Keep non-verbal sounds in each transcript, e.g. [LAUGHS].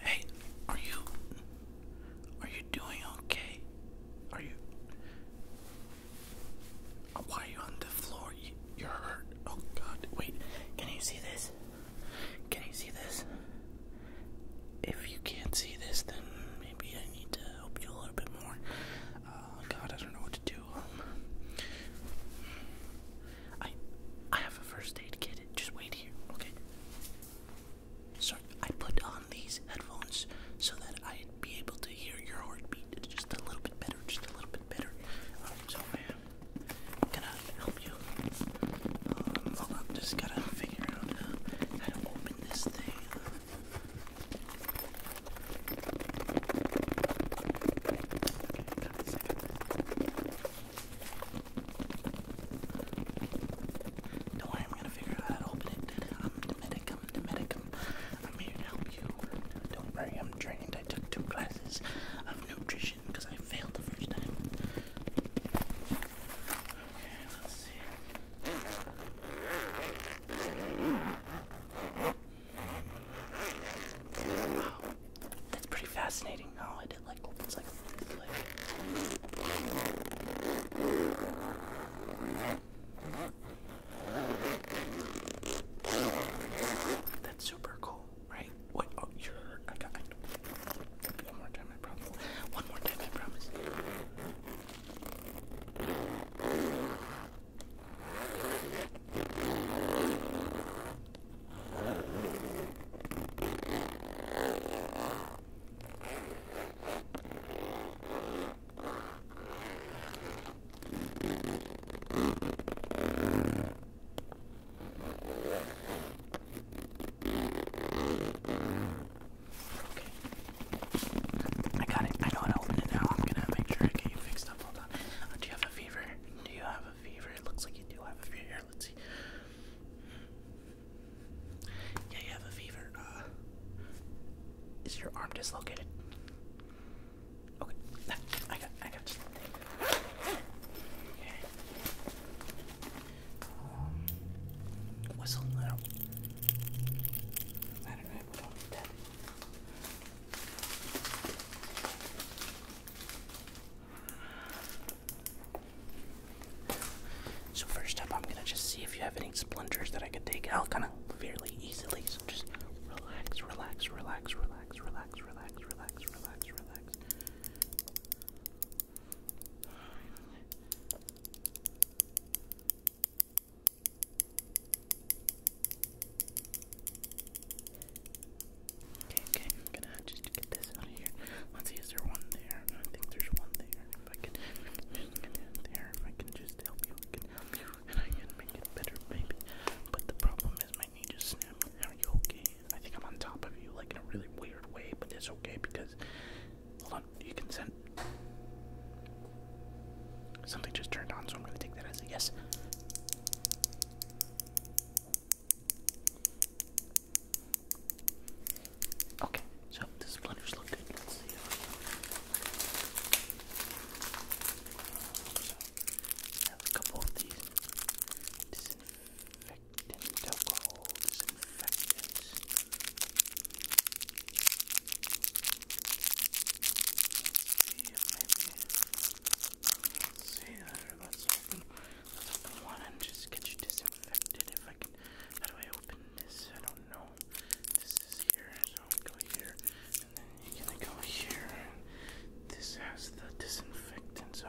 Hey, are you are you doing okay? Are you why are you on the floor? You, you're hurt. Oh god. Wait. Can you see this? Can you see this? If you can't see this, then maybe I need to help you a little bit more. Uh, god, I don't know what um, I I have a first aid kit. Just wait here, okay? Sorry, I put on these headphones so that I'd be able to hear your heartbeat just a little bit better, just a little bit better. so i gonna help you. Um, hold on, just gotta figure out how to open this thing. Don't worry, I'm gonna figure out how to open it. I'm the medic, I'm the medic, I'm here to help you. Don't worry, I'm trained. I took two classes of nutrition because I failed the first time. Okay, let's see. Wow. That's pretty fascinating. How oh, like it's like That's super cool, right? What? Oh, you're. I got. one more time, I promise. One more time, I promise. I got it. I know how to open it now. I'm gonna make sure I get you fixed up all uh, do you have a fever? Do you have a fever? It looks like you do have a fever. let's see. Yeah, you have a fever. Uh, is your arm dislocated? Okay, I got, I got um, whistle now. So first up, I'm gonna just see if you have any splinters that I could take out kind of fairly easily. So just relax, relax, relax, relax, relax, relax, relax, relax, relax. Okay, okay, I'm gonna just get this out of here. Let's see, is there one there? I think there's one there. If I can, just get it there. If I can just help you, I can help you, and I can make it better, maybe. But the problem is my knee just snapped. Are you okay? I think I'm on top of you, like in a really weird way, but it's okay because. Hold on, you can send. Something just turned on, so I'm gonna take that as a yes. Okay, so this blenders looking. good. Let's see. So, I have a couple of these disinfectant alcohol disinfectants. Let's see, let's open, let's open one and just get you disinfected if I can. How do I open this? I don't know. This is here, so go here, and then you're gonna go here. And this has the disinfectant, so.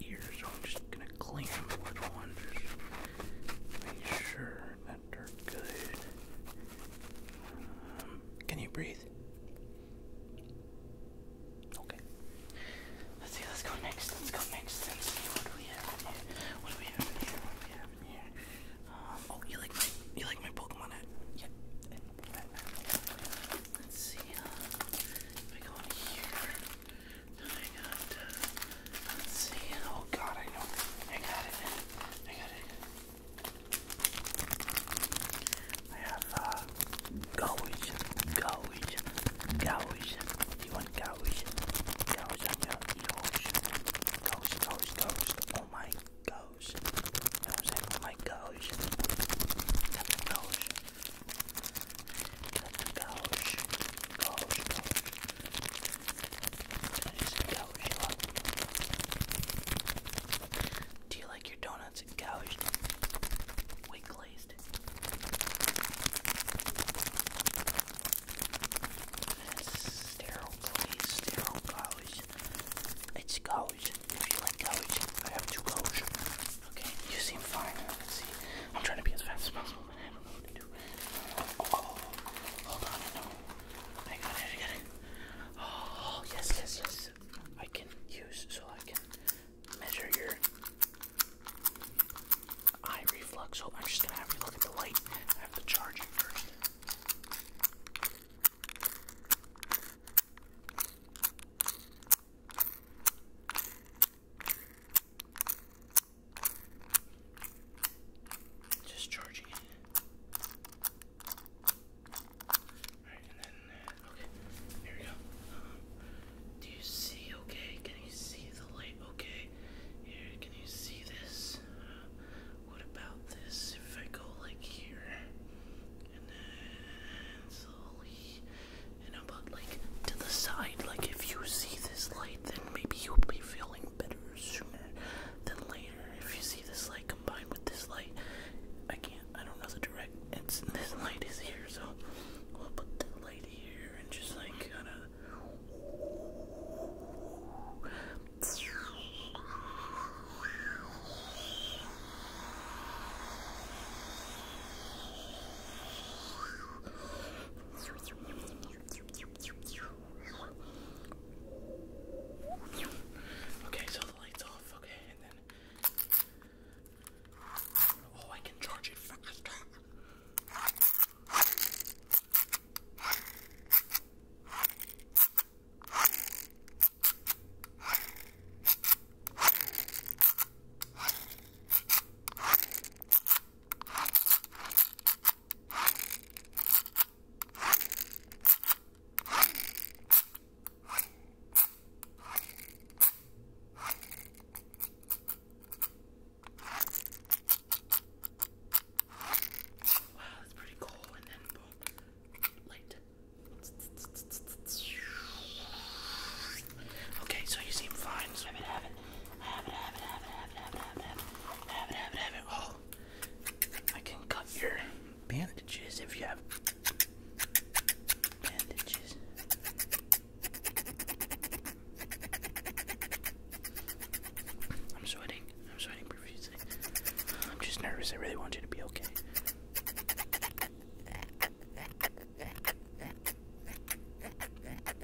your I'm just gonna clean them a little and just make sure that they're good. Um, can you breathe? Okay. Let's see, let's go next. Let's go next. Let's see what we have here. What do we have here? What do we have here? Um, oh, you like you like my Pokemon Yep. Let's see, uh, if go in here. I got, uh, let's see. Oh God, I know. I got it. I got it. I have uh, gouge, gouge, gouge. You want gouge? Gouge on your gouge, gouge, gouge, Oh my gouge. I'm saying? Oh my gouge. That's do you like your donuts gouged? Wait, glazed. It's sterile glaze, sterile gouge. It's gouge. If you like gouge, I have two gouge. Okay, you seem fine. let see. I'm trying to be as fast as possible. Oh, yes, yes, yes. I can use, so I can measure your eye reflux. So I'm just gonna have you look at the light. I have the charging. first. Just charging it. Alright, and then, okay, here we go. do you see okay? Can you see the light okay? Here, can you see this? Uh, what about this? If I go like here, and then slowly, and up like to the side. Like if you see this light, then maybe you'll be feeling better sooner than later. If you see this light combined with this light, I can't. I don't know the direct. It's [LAUGHS] this light is here, so we'll put the light here and just like kind of. Okay, so the light's off. Okay, and then oh, I can charge it faster. Wow, that's pretty cool. And then boom, light. Okay, so you seem fine. So I've been having Oh, I can cut your bandages if you have bandages. I'm sweating. I'm sweating profusely. I'm just nervous. I really want you to be okay. Okay,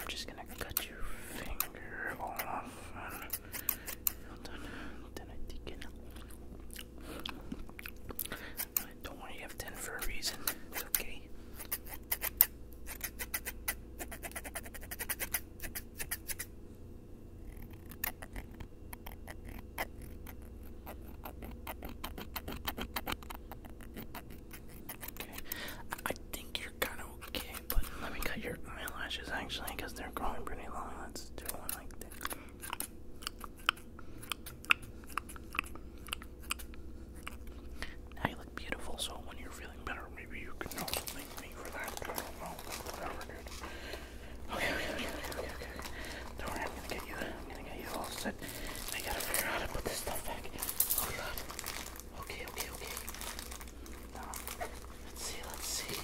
I'm just gonna cut your finger off. hold on, then I take it. Don't worry, you have ten for a reason. It's okay. I think you're kind of okay, but let me cut your eyelashes actually they're growing pretty long. Let's do one like that. Now you look beautiful, so when you're feeling better, maybe you can also thank me for that. Okay, okay, okay, okay, okay. Don't worry, I'm gonna get you. I'm gonna get you all set. I gotta figure out how to put this stuff back. Oh god. Okay, okay, okay. let's see, let's see.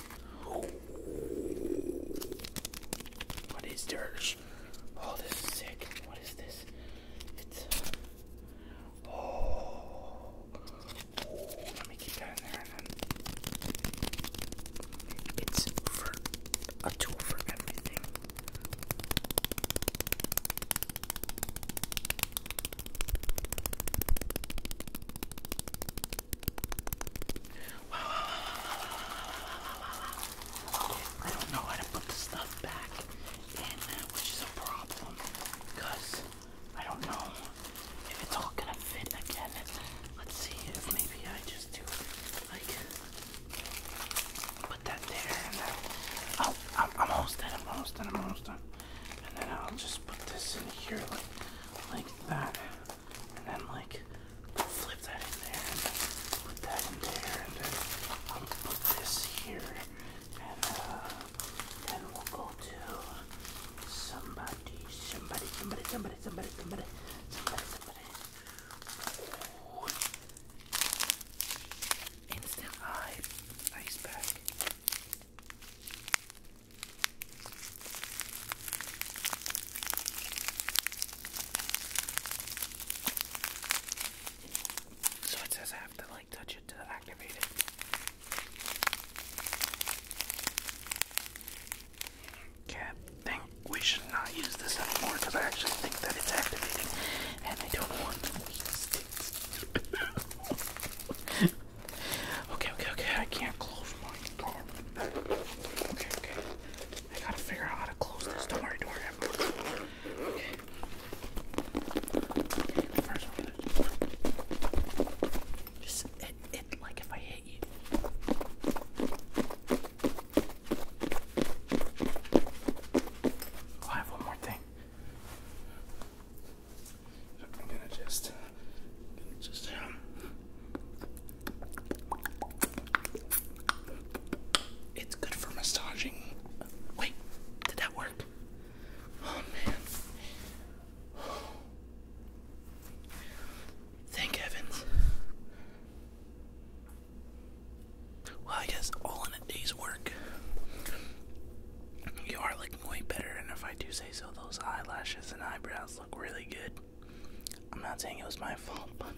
What is this? Oh, this is sick. What is this? It's. Uh, oh. Let me keep that in there It's a tool for everything. Wow, wow, wow, wow, wow, wow, wow, wow, wow. I don't know how to put the stuff back in, uh, which is a problem because I don't know if it's all gonna fit again. Let's see if maybe I just do like put that there and that. Oh, I'm, I'm almost done. I'm almost done. I'm almost done. And then I'll just put this in here like, like that. And then like flip that in there and put that in there. And then I'll put this here. And uh, then we'll go to somebody, somebody, somebody, somebody, somebody, somebody, somebody, somebody. Ooh. Instant Eye Ice Pack. So it says I have to like touch it to activate it. Okay, I think we should not use this anymore because I actually think that it's activating and I don't want [LAUGHS] okay, okay, okay. I can't close my door. Okay, okay. I gotta figure out how to close this. Don't worry, don't worry. okay. First, just it, it like if I hit you. Oh, I have one more thing. I'm gonna just, just, um, it's good for massaging. Wait, did that work? Oh man. Thank heavens. Well, I guess all in a day's work. You are looking way better, and if I do say so, those eyelashes and eyebrows look really good. I'm not saying it was my fault, but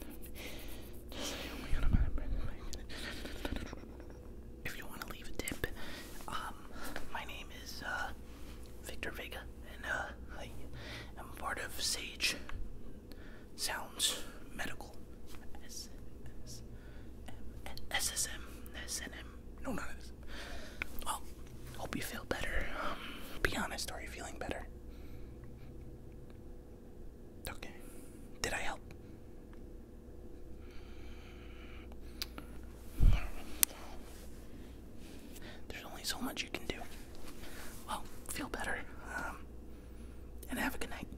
If you want to leave a tip, um, my name is uh, Victor Vega, and uh, I am part of Sage Sounds Medical. S -S SSM, SSM, no, none of this. Well, hope you feel better. Um, be honest, are you feeling better? Okay. Did I help? There's only so much you can do. Well, feel better. Um, and have a good night.